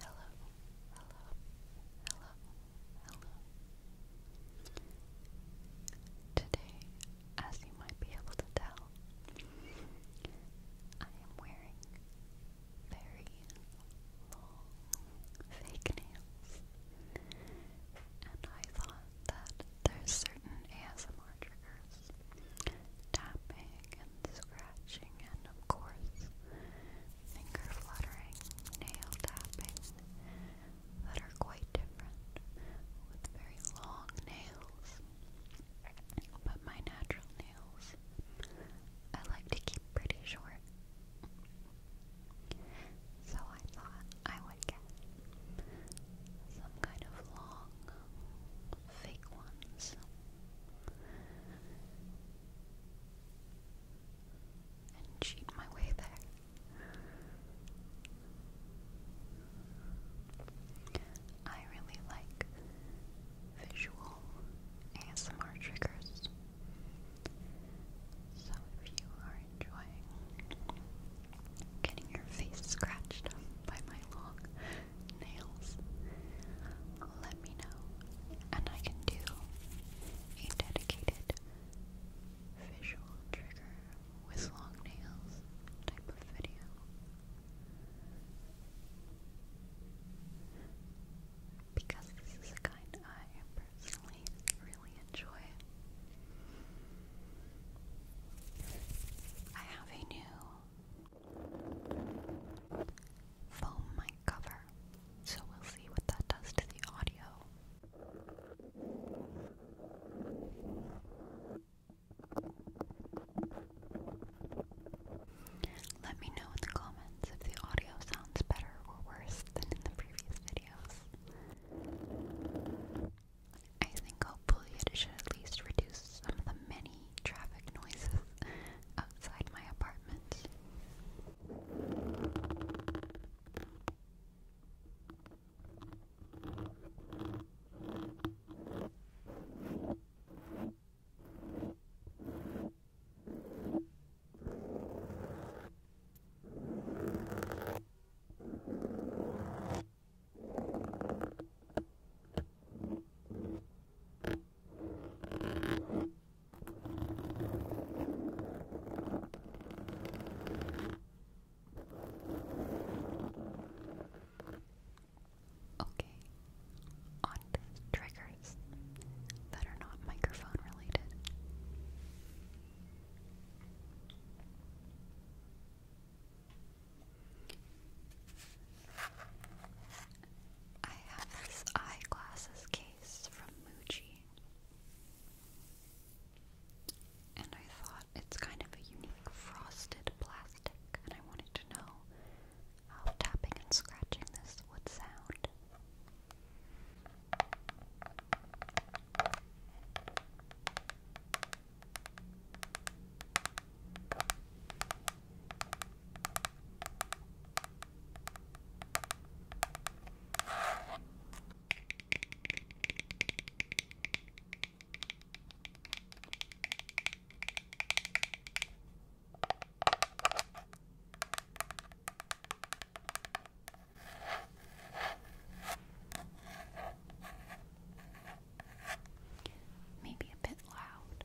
Hello, Today, as you might be able to tell, I am wearing very long fake nails. And I thought that there's certain ASMR triggers, tapping and scratching, and of course, finger fluttering, nail tapping that are quite different with very long nails. But my natural nails, I like to keep pretty short. So I thought I would get some kind of long, fake ones and cheat my way back. I really like visual ASMR triggers. So if you are enjoying getting your face scratched by my long nails, let me know, and I can do a dedicated visual trigger with long nails type of video. Because this is kind I personally really enjoy. I have a new foam mic cover. So we'll see what that does to the audio. Let me know in the comments if the audio sounds better or worse than in the previous videos. I think hopefully it should at least reduce some of the many traffic noises outside my apartment. Okay, on triggers that are not microphone related. I have this eyeglasses case from Muji. And I thought it's kind of a unique frosted plastic, and I wanted to know how tapping and scratching this would sound. Maybe a bit loud.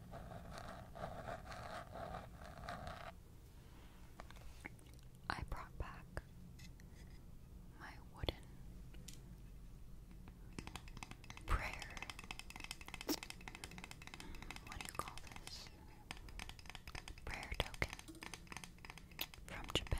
I brought back my wooden prayer. What do you call this? Prayer token from Japan.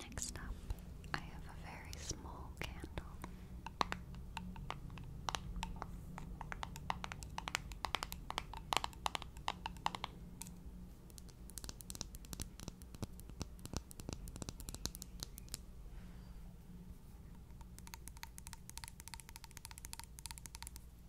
Next up, I have a very small candle.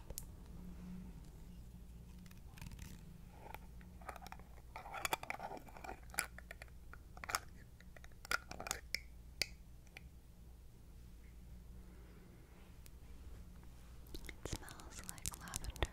It smells like lavender.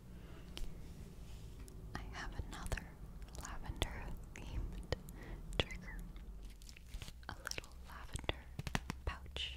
I have another lavender themed trigger. A little lavender pouch.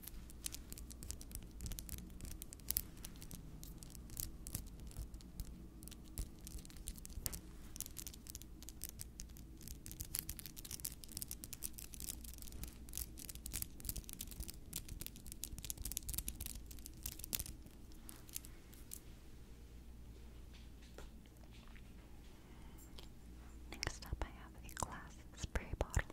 Next up, I have a glass spray bottle.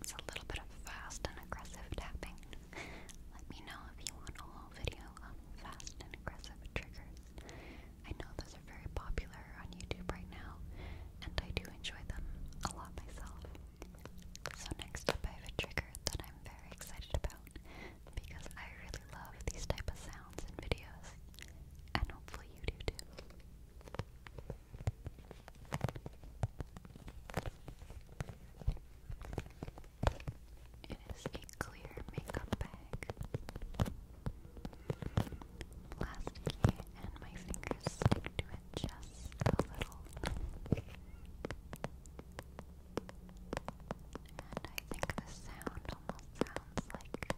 It's a little bit of fast and aggressive tapping. Let me know if you want a whole video on fast and aggressive triggers. I know those are very popular on YouTube right now, and I do enjoy them a lot myself. So, next up, I have a trigger that I'm very excited about because I really love these type of sounds and videos and hopefully you do too. It is a clear makeup bag. Plasticky and my fingers stick to it just a little. And I think the sound almost sounds like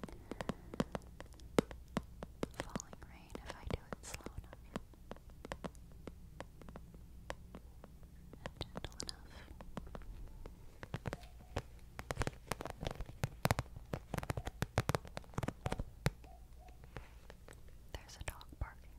falling rain if I do it slow enough and gentle enough. There's a dog barking.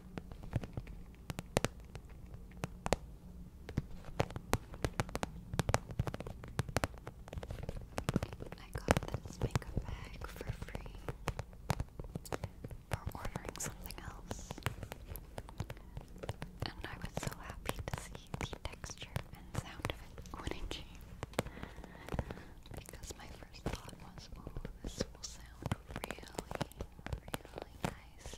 I got this makeup bag for free for ordering something else. And I was so happy to see the texture and sound of it when it came because my first thought was, ooh, this will sound really, really nice.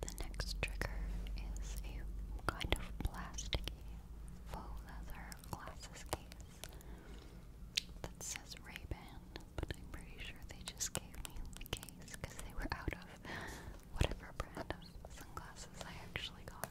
The next trigger is a kind of plasticky faux leather glasses case that says Ray-Ban, but I'm pretty sure they just gave me the case because they were out of whatever brand of sunglasses I actually got.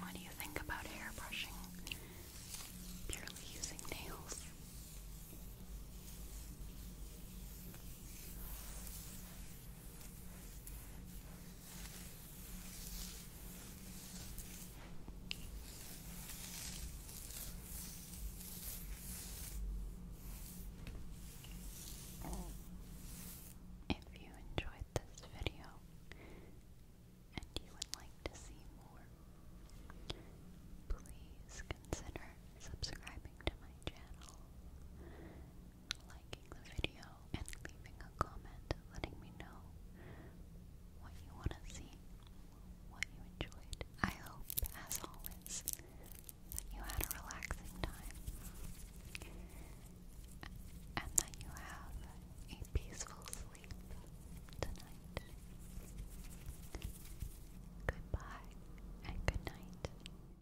What do you think about hair brushing purely using nails? If you enjoyed this video and you would like to see more, please consider subscribing to my channel liking the video, and leaving a comment letting me know what you want to see, what you enjoyed. I hope, as always, that you had a relaxing time and that you have a peaceful sleep tonight. Goodbye and good night.